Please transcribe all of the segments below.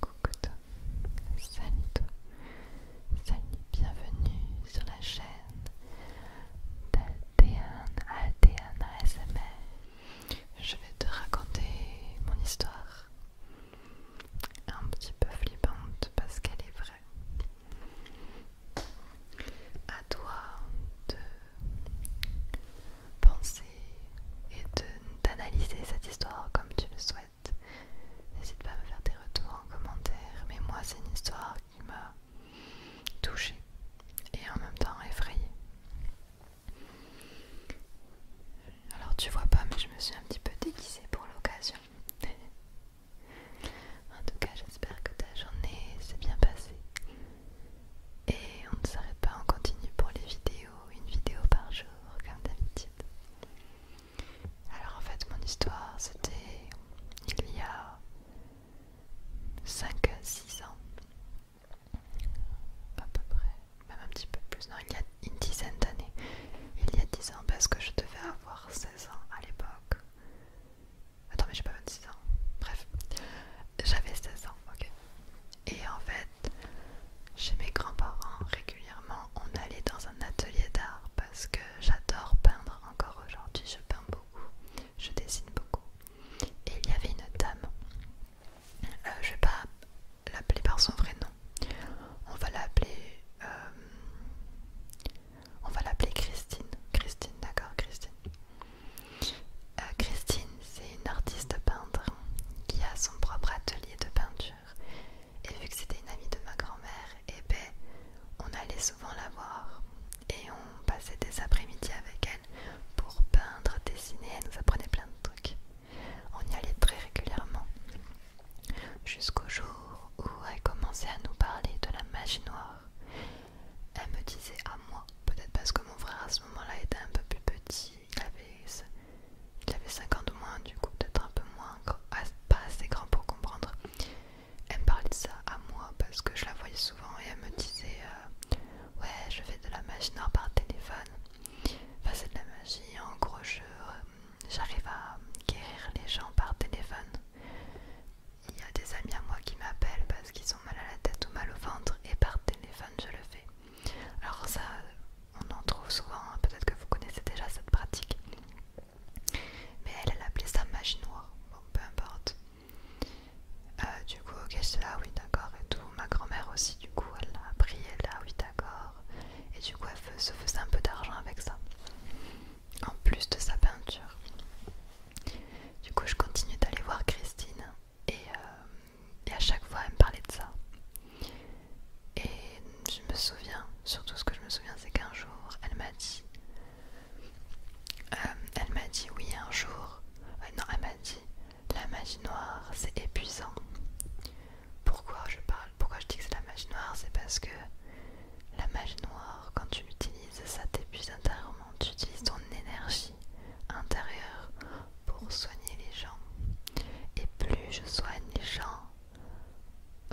Coucou tout, salut tout, salut, bienvenue sur la chaîne d'Altéane, Altéane ASMR. Je vais te raconter mon histoire. Un petit peu flippante parce qu'elle est vraie. À toi de penser et d'analyser cette histoire comme tu le souhaites. N'hésite pas à me faire des retours en commentaire, mais moi c'est une histoire qui m'a touchée et en même temps effrayée. Alors tu vois pas, mais je me suis un petit peu déguisée pour l'occasion. en tout cas, j'espère que ta journée s'est bien passée. Et on ne s'arrête pas, on continue pour les vidéos, une vidéo par jour, comme d'habitude. Alors en fait, mon histoire, c'était il y a 5-6 ans à peu près, même un petit peu plus, non, il y a une dizaine d'années. Il y a 10 ans, parce que je devais avoir 16 ans à l'époque. Attends, mais j'ai pas 26 ans. Bref, j'avais 16 ans, ok. Et en fait, chez mes grands-parents, régulièrement, on allait dans un atelier d'art parce que j'adore peindre encore aujourd'hui, je peins beaucoup je dessine beaucoup. Et il y avait une dame, euh, je vais pas l'appeler par son vrai nom, on va l'appeler euh, on va l'appeler Christine. Christine, d'accord, Christine. Euh, Christine, c'est une artiste peintre qui a son propre atelier de peinture. Et vu que c'était une amie de ma grand-mère, et eh ben on allait souvent la voir et on passait des après-midi avec elle pour peindre, dessiner, elle nous apprenait plein de trucs. On y allait très régulièrement. Jusqu'au jour où elle commençait à nous parler de la magie noire. Elle me disait à ah, moi, peut-être parce que mon frère à ce moment-là était un peu plus petit, il avait, il avait ans de moins, du coup peut-être un peu moins, pas assez grand pour comprendre. Elle me parlait de ça à moi parce que je la voyais souvent et elle me disait euh, ouais je fais de la magie noire par téléphone enfin c'est de la magie en gros euh, j'arrive à guérir les gens par téléphone il y a des amis à moi qui m'appellent parce qu'ils ont mal à la tête ou mal au ventre et par téléphone je le fais alors ça on en trouve souvent hein. peut-être que vous connaissez déjà cette pratique mais elle elle appelait ça magie noire bon peu importe euh, du coup, ok, c'est là, oui, d'accord, et tout. Ma grand-mère aussi, du coup, elle a appris, elle a, oui, d'accord. Et du coup, elle se faisait un peu d'argent avec ça, en plus de sa peinture. Du coup, je continue d'aller voir Christine, euh, et, à chaque fois, elle me parlait de ça. Et je me souviens, surtout ce que je me souviens, c'est qu'un jour, elle m'a dit. Euh, elle m'a dit oui un jour. non, elle m'a dit la magie noire, c'est épuisant. Pourquoi je parle Pourquoi je dis que c'est la magie noire C'est parce que la magie noire, quand tu utilises ça t'épuise intérieurement. Tu utilises ton énergie intérieure pour soigner les gens. Et plus je soigne les gens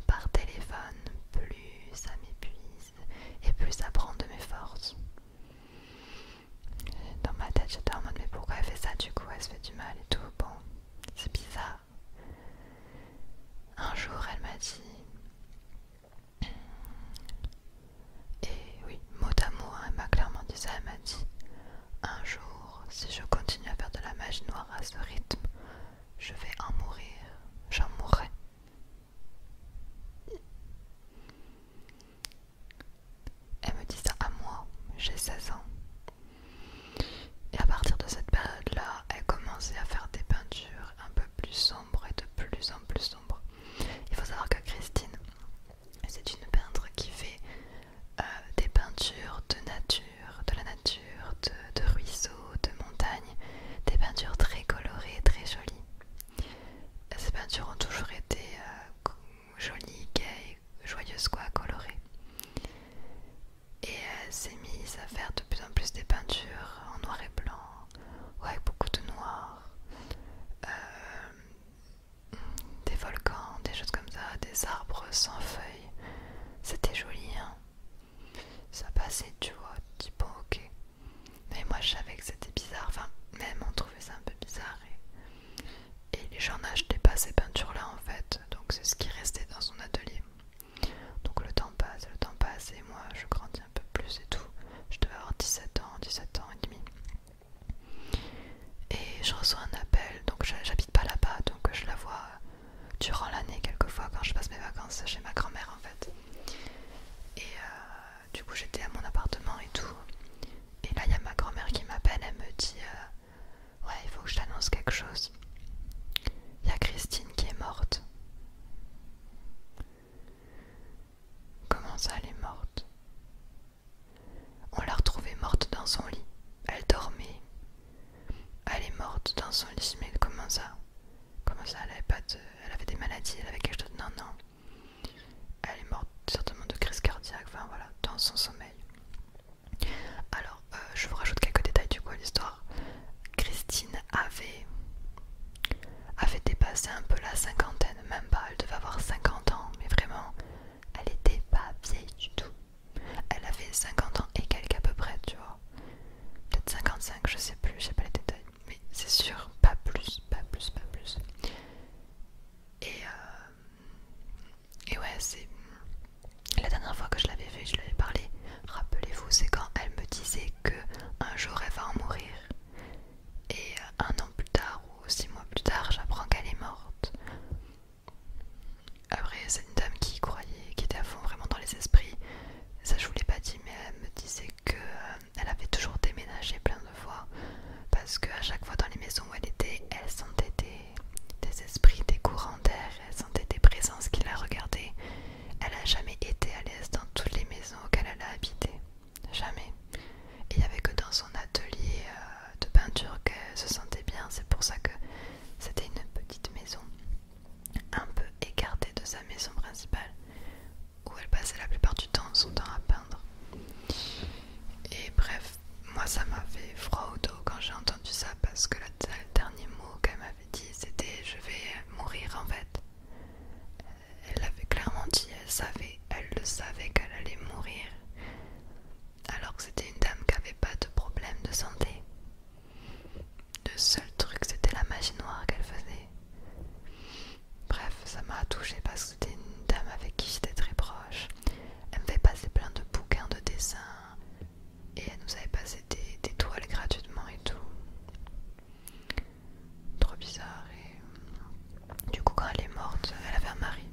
par téléphone, plus ça m'épuise et plus ça prend de mes forces dans ma tête j'étais en mode mais pourquoi elle fait ça du coup elle se fait du mal et tout bon c'est bizarre un jour elle m'a dit et oui mot d'amour, hein, elle m'a clairement dit ça elle m'a dit un jour si je continue à faire de la magie noire à ce rythme je vais en mourir j'en mourrai elle me dit ça à moi, j'ai 16 ans. Et à partir de cette période-là, elle commençait à faire des peintures un peu plus sombres et de plus en plus sombres. Il faut savoir que Christine, c'est une peintre qui fait euh, des peintures de nature, de la nature, de, ruisseaux, de montagnes, des peintures très colorées, très jolies. Ces peintures ont toujours été euh, jolie, gay, joyeuse quoi, colorée. Et elle euh, s'est mise à faire de plus en plus des peintures en noir et blanc, ou avec beaucoup de noir, euh, des volcans, des choses comme ça, des arbres sans feuilles. C'était joli, hein. Ça passait, tu vois, du bon ok. Mais moi je savais que c'était bizarre, enfin même on trouvait ça un peu bizarre. Et les gens n'achetaient pas ces peintures-là en fait, donc c'est ce qui restait dans son atelier. Donc le temps passe, le temps passe, et moi je grandis un peu plus et tout. Je devais avoir 17 ans, 17 ans et demi. Et je reçois un appel, donc j'habite pas là-bas, donc je la vois durant l'année quelquefois quand je passe mes vacances chez ma grand-mère en fait. Et euh, du coup j'étais à mon appartement et tout. Et là, il y a ma grand-mère qui m'appelle, elle me dit euh, Ouais, il faut que je t'annonce quelque chose. Il y a Christine qui est morte. Comment ça, elle est morte On l'a retrouvée morte dans son lit. Elle dormait. Elle est morte dans son lit. Mais comment ça Comment ça Elle avait pas de... Elle avait des maladies, elle avait quelque chose. Non, non. Elle est morte certainement de crise cardiaque, enfin voilà, dans son sommeil. Alors, euh, je vous rajoute quelques détails du coup à l'histoire. Christine avait, avait dépassé un peu la cinquantaine, même pas, elle devait avoir 50 ans, mais vraiment, elle était pas vieille du tout. Elle avait 50 ans et quelques à peu près, tu vois. Peut-être 55, je sais plus, je sais pas les détails. Mais c'est sûr, pas plus, pas plus, pas plus. Et euh, et ouais, c'est. La dernière fois que je l'avais vue, je lui parlé. Rappelez-vous, c'est quand elle me disait que un jour elle va en mourir. Et euh, un an plus tard ou six mois plus tard, j'apprends qu'elle est morte. Après, c'est une dame qui croyait, qui était à fond vraiment dans les esprits. Ça, je vous l'ai pas dit, mais elle me disait que euh, elle avait toujours déménagé plein de parce que parce chaque fois dans les maisons où elle était, elle sentait des, esprits, des courants d'air, elle sentait des présences qui la regardaient. Elle n'a jamais été à l'aise dans toutes les maisons auxquelles elle a habité. Jamais. il n'y avait que dans son atelier euh, de peinture qu'elle se sentait bien. C'est pour ça que c'était une petite maison, un peu écartée de sa maison principale, où elle passait la plupart du temps son temps à et bref, moi ça m'a fait froid au dos quand j'ai entendu ça parce que le dernier mot qu'elle m'avait dit c'était je vais mourir en fait. Euh, elle avait clairement dit, elle savait, elle le savait qu'elle allait mourir. Alors que c'était une dame qui avait pas de problème de santé. Le seul truc c'était la magie noire qu'elle faisait. Bref, ça m'a touché parce c'était une dame avec qui j'étais très proche. Elle me fait passer plein de bouquins de dessins et elle nous avait passé des, toiles gratuitement et tout. Trop bizarre. Euh, du coup, quand elle est morte, elle avait un mari.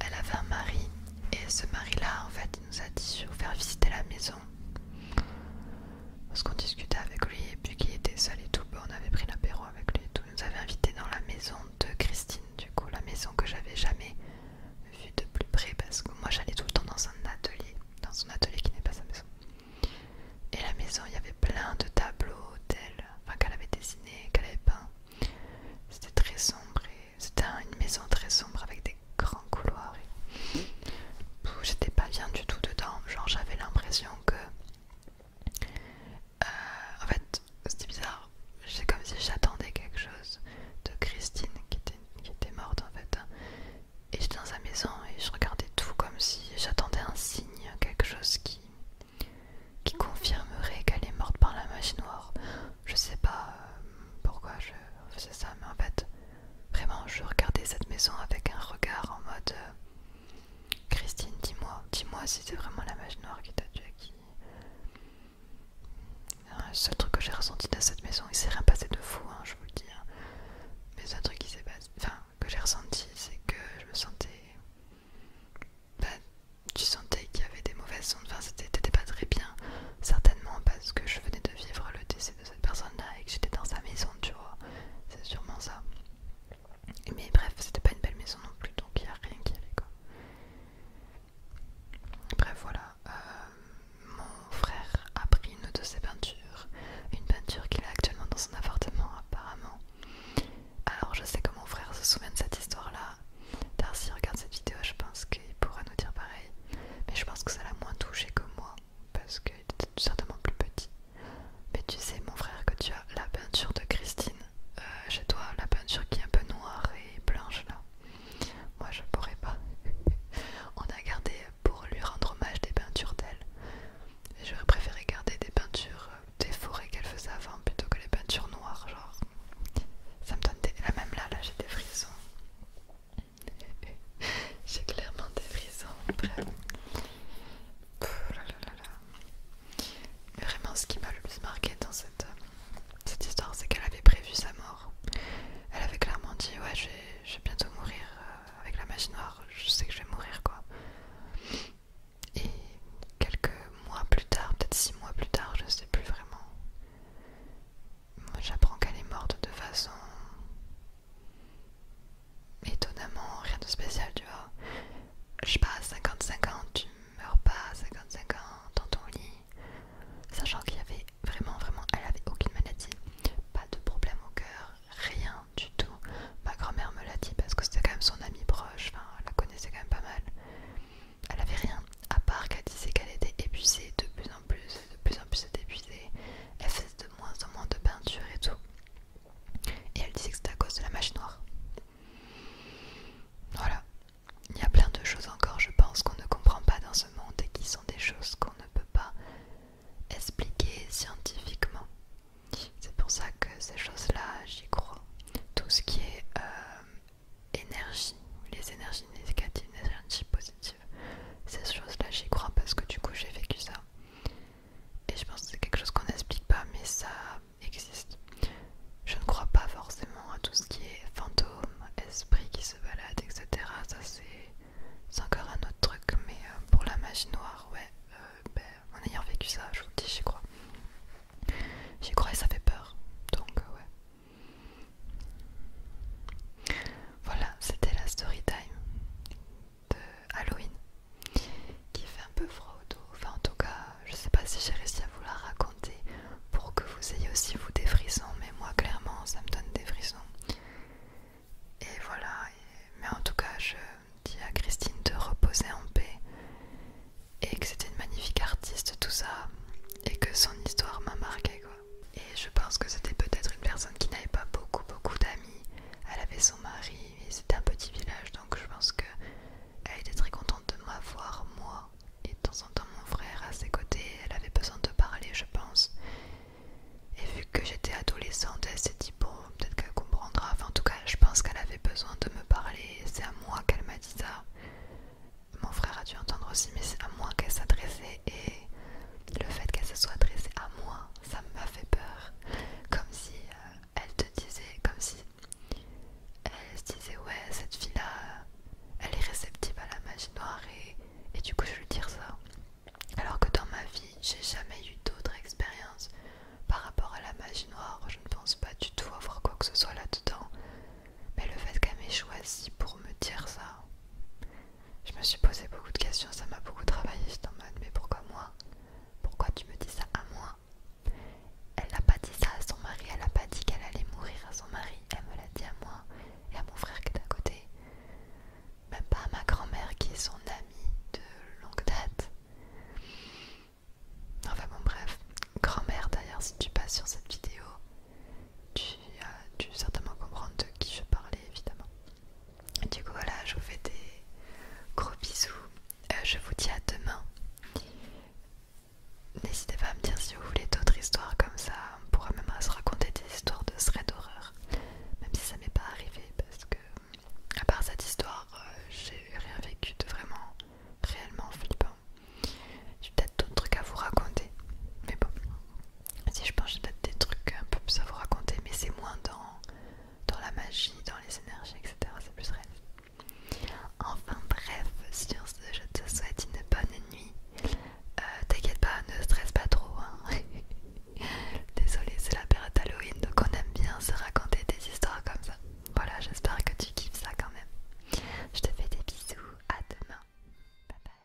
Elle avait un mari et ce mari-là, en fait, il nous a dit de faire visiter la maison. Parce qu'on discutait avec lui et puis qu'il était seul et tout, on avait pris l'apéro avec lui et Il nous avait invité dans la maison de Christine du coup, la maison que j'avais jamais vue de plus près parce que moi j'allais tout le temps dans un atelier, dans son atelier qui n'est pas sa maison. Et la maison, il y avait plein de tableaux d'elle, enfin qu'elle avait dessiné, qu'elle avait peint. C'était très sombre c'était une maison très sombre avec des grands couloirs. J'étais pas bien du tout dedans, genre j'avais l'impression que euh, en fait, c'était bizarre. C'est comme si j'attendais quelque chose de Christine qui était, morte en fait. Et j'étais dans sa maison et je regardais tout comme si j'attendais un signe, quelque chose qui, qui confirmerait qu'elle est morte par la machine noire. Je sais pas euh, pourquoi je faisais ça, mais en fait, vraiment, je regardais cette maison avec un regard en mode euh, Christine, dis-moi, dis-moi si c'est vraiment la machine noire qui t'a tué, le seul truc que j'ai ressenti dans cette maison, il s'est rien passé de fou, hein, je vous le dis. Hein. Mais un truc qui s'est enfin, que j'ai ressenti, c'est que je me sentais. Bah, tu sentais qu'il y avait des mauvaises ondes, enfin, c'était pas très bien, certainement parce que je venais de vivre le décès de cette personne-là et que j'étais dans sa maison, tu vois. C'est sûrement ça. Mais bref, c'était pas une belle maison non plus, donc il y a rien qui allait quoi. Bref, voilà. Euh, mon frère a pris une de ses peintures, une peinture qu'il a actuellement dans son appartement, apparemment. Alors, je sais que mon frère se souvient de cette histoire-là. Darcy regarde cette vidéo, je pense qu'il pourra nous dire pareil. Mais je pense que ça l'a moins touché que moi, parce qu'il était certainement plus petit. Mais tu sais, mon frère, que tu as la peinture de Christine euh, chez toi, la peinture qui est un peu noire et blanche là. Moi je pourrais pas. On a gardé pour lui rendre hommage des peintures d'elle. J'aurais préféré garder des peintures euh, des forêts qu'elle faisait avant plutôt que les peintures noires. Genre, ça me donne des. Là, même là, là j'ai des frissons. j'ai clairement des frissons. Bref. là, là, là. Vraiment, ce qui m'a le plus marqué dans cette euh, cette histoire, c'est qu'elle avait prévu sa mort. Elle avait clairement dit ouais, je vais, bientôt mourir euh, avec la machine noire. Je sais que je vais mourir quoi. Et quelques mois plus tard, peut-être six mois plus tard, je sais plus vraiment. j'apprends qu'elle est morte de façon étonnamment rien de spécial, tu vois. Je sais pas, 55 ans, tu meurs pas 55 ans dans ton lit sachant qu'il y avait vraiment, vraiment, elle avait aucune maladie, pas de problème au cœur, rien du tout. Ma grand-mère me l'a dit parce que c'était quand même son amie proche, enfin, elle la connaissait quand même pas mal. Elle avait rien, à part qu'elle disait qu'elle était épuisée de plus en plus, de plus en plus épuisée. Elle faisait de moins en moins de peinture et tout. Et elle disait que c'était à cause de la machine noire. Voilà, il y a plein de choses encore, je pense, qu'on ne comprend pas dans ce monde et qui sont des choses qu'on ne peut pas expliquer scientifiquement. C'est pour ça que ces choses-là, j'y crois. Tout ce qui est euh, énergie, les énergies négatives, les énergies positives, ces choses-là, j'y crois parce que du coup, j'ai vécu ça. Et je pense que c'est quelque chose qu'on n'explique pas, mais ça existe. Je ne crois pas forcément à tout ce qui est fantôme, esprit qui se balade, etc. Ça c'est encore un autre truc, mais euh, pour la magie noire, ouais, euh, ben, en ayant vécu ça, je vous dis, j'y crois. J'y crois et ça fait peur, donc euh, ouais. Voilà, c'était la story time de Halloween, qui fait un peu froid au dos, enfin en tout cas je sais pas si j'ai réussi à vous la raconter pour que vous ayez aussi vous des frissons, mais moi clairement ça me donne des frissons. Et voilà, mais en tout cas je dis à Christine de reposer en paix et que c'était une magnifique artiste tout ça et que son histoire m'a marqué Et je pense que c'était peut-être une personne qui n'avait pas beaucoup beaucoup d'amis. Elle avait son mari et c'était un petit village donc je pense que elle était très contente de m'avoir moi et de temps en temps mon frère à ses côtés. Elle avait besoin de parler, je pense. Et vu que j'étais adolescente, elle s'est dit bon, peut-être qu'elle comprendra. Enfin, en tout cas, je pense qu'elle avait besoin de me parler. C'est à moi qu'elle m'a dit ça. Mon frère a dû entendre aussi, mais c'est à moi qu'elle s'adressait. Et le fait qu'elle se soit adressée à moi, ça m'a fait peur. Comme si euh, elle te disait, comme si elle se disait ouais cette fille là elle est réceptive à la magie noire et, du coup je lui dire ça alors que dans ma vie j'ai jamais eu d'autres expériences par rapport à la magie noire je ne pense pas du tout avoir quoi que ce soit là dedans mais le fait qu'elle m'ait choisi pour me dire ça je me suis posé beaucoup de questions ça m'a beaucoup travaillé j'étais en mode mais pourquoi moi pourquoi tu me dis ça à moi elle n'a pas dit ça à son mari, elle n'a pas dit qu'elle allait mourir à son mari, elle me dit à moi et à mon frère qui est à côté, même pas à ma grand-mère qui est son amie de longue date. Enfin bon bref, grand-mère d'ailleurs si tu passes sur cette vidéo, tu euh, vas certainement comprendre de qui je parlais évidemment. Du coup voilà, je vous fais des gros bisous, euh, je vous dis à demain. N'hésitez pas à me dire si vous voulez d'autres histoires comme ça, on pourra même se raconter des histoires de thread d'horreur, même si ça m'est pas arrivé parce que, à part cette histoire, euh, j'ai rien vécu de vraiment réellement flippant. J'ai peut-être d'autres trucs à vous raconter, mais bon, si je pense, j'ai peut-être des trucs un peu plus à vous raconter, mais c'est moins dans, dans la magie, dans les énergies, etc. C'est plus réel. Enfin, bref, sur ce, je te souhaite une bonne nuit. Euh, t'inquiète pas, ne stresse pas trop. Hein. Désolée, c'est la période Halloween, donc on aime bien se raconter des histoires comme ça. Voilà, j'espère que tu kiffes ça quand même. Je te fais des bisous, à demain. Bye bye.